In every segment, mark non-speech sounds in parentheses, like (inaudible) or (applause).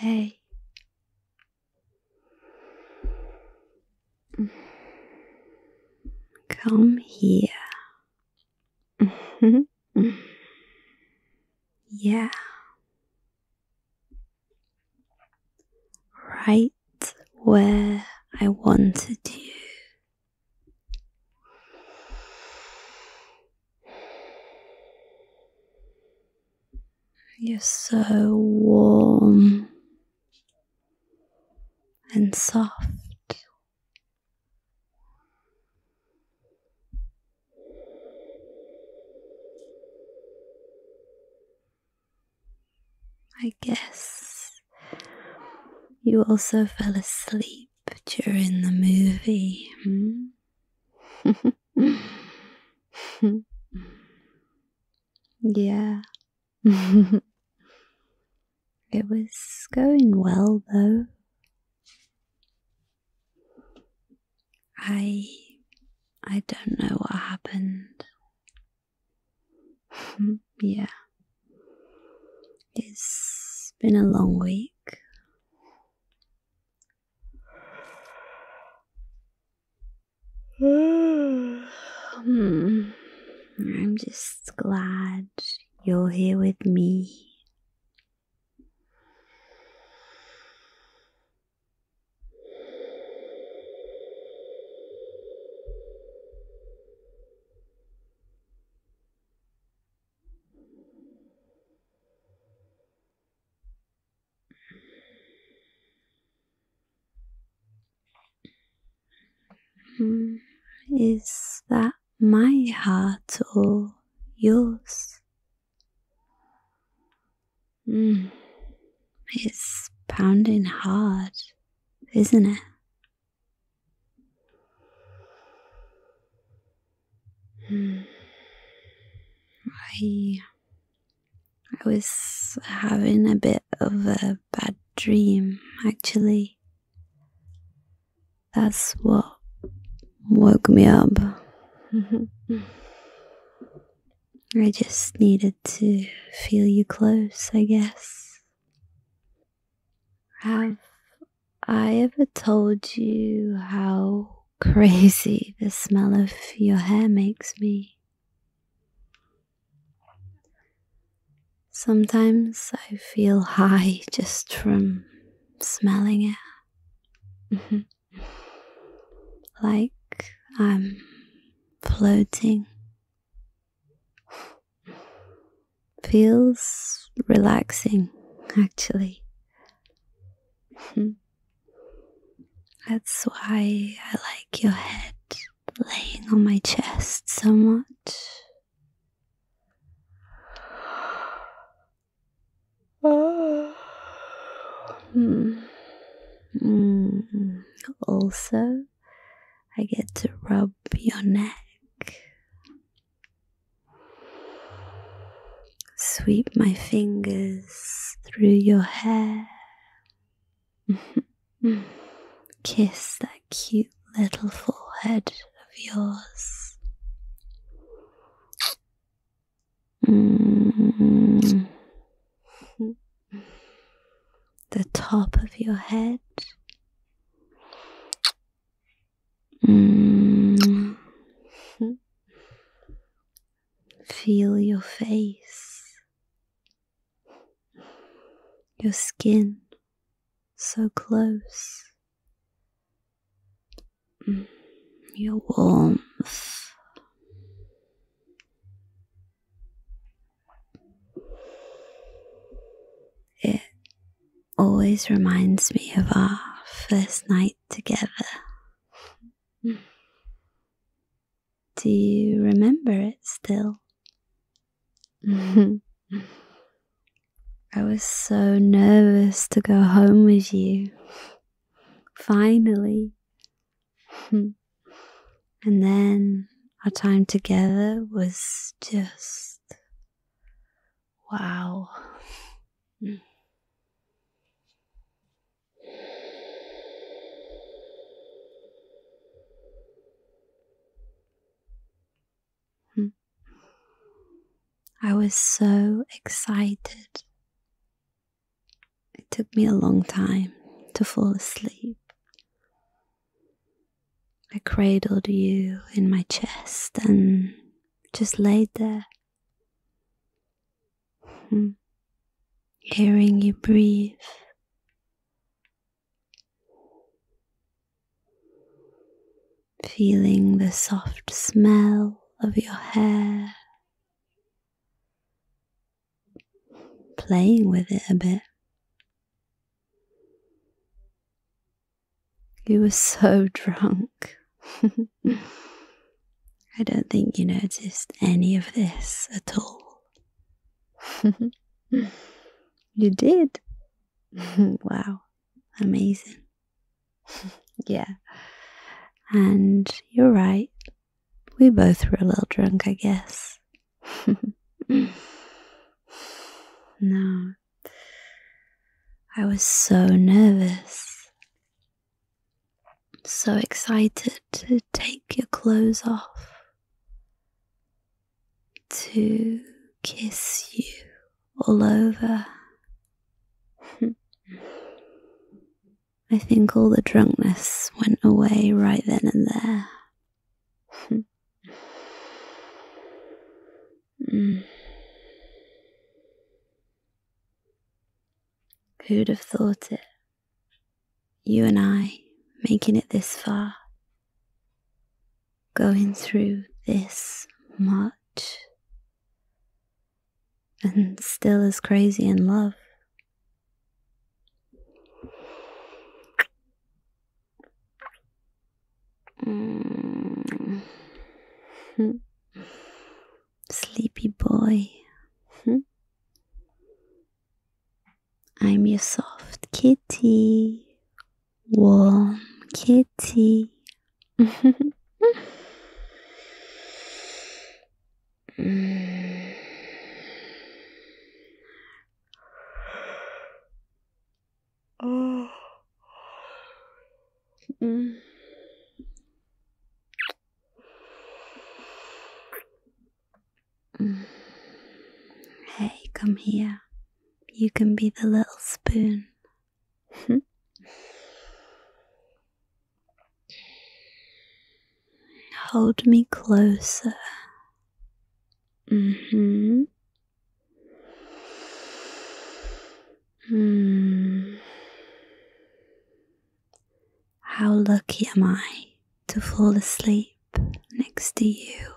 Hey. Come here. (laughs) yeah right where I wanted you. You're so warm and soft. I guess you also fell asleep during the movie. Hmm? (laughs) yeah. (laughs) it was going well, though. I I don't know what happened. (laughs) yeah. It's been a long week. (sighs) Hmm. I'm just glad you're here with me Hmm. Is that my heart or yours? Hmm. It's pounding hard, isn't it? Hmm. I I was having a bit of a bad dream actually. That's what woke me up. (laughs) I just needed to feel you close, I guess. Have I ever told you how crazy the smell of your hair makes me? Sometimes I feel high just from smelling it. Mm-hmm. like I'm floating. Feels relaxing, actually. Mm-hmm. That's why I like your head laying on my chest so much. Hmm. Hmm. Also, I get to rub your neck. Sweep my fingers through your hair. (laughs) Kiss that cute little forehead of yours. Mm. The top of your head. Mm. Feel your face, your skin so close. Mm, your warmth. It always reminds me of our first night together. Mm. Do you remember it still? (laughs) I was so nervous to go home with you. Finally. (laughs) and then our time together was just wow. Hmm. I was so excited. It took me a long time to fall asleep. I cradled you in my chest and just laid there, hmm. hearing you breathe Feeling the soft smell of your hair, playing with it a bit. You were so (laughs) drunk. (laughs) I don't think you noticed any of this at all. (laughs) you did? (laughs) wow, amazing. (laughs) yeah. And you're right. We both were a little drunk, I guess. no. I was so nervous so excited to take your clothes off, to kiss you all over. (laughs) I think all the drunkenness went away right then and there. (laughs) Who'd have thought it? You and I making it this far, going through this much, and still as crazy in love. Mm. (laughs) sleepy boy. Hmm? I'm your soft kitty, warm kitty. (laughs) Mm. (sighs) Hey, come here. You can be the little spoon. Hmm? Hold me closer. Mm-hmm. mm hmm how lucky am I to fall asleep next to you?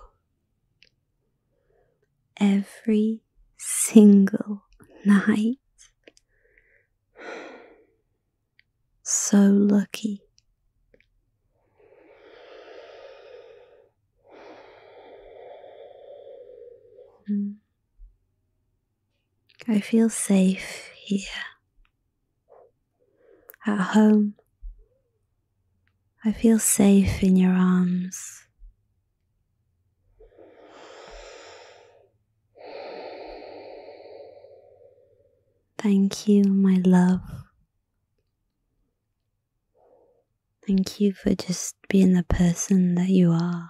Every single night. So lucky. Hmm. I feel safe here. At home, I feel safe in your arms. Thank you, my love. Thank you for just being the person that you are.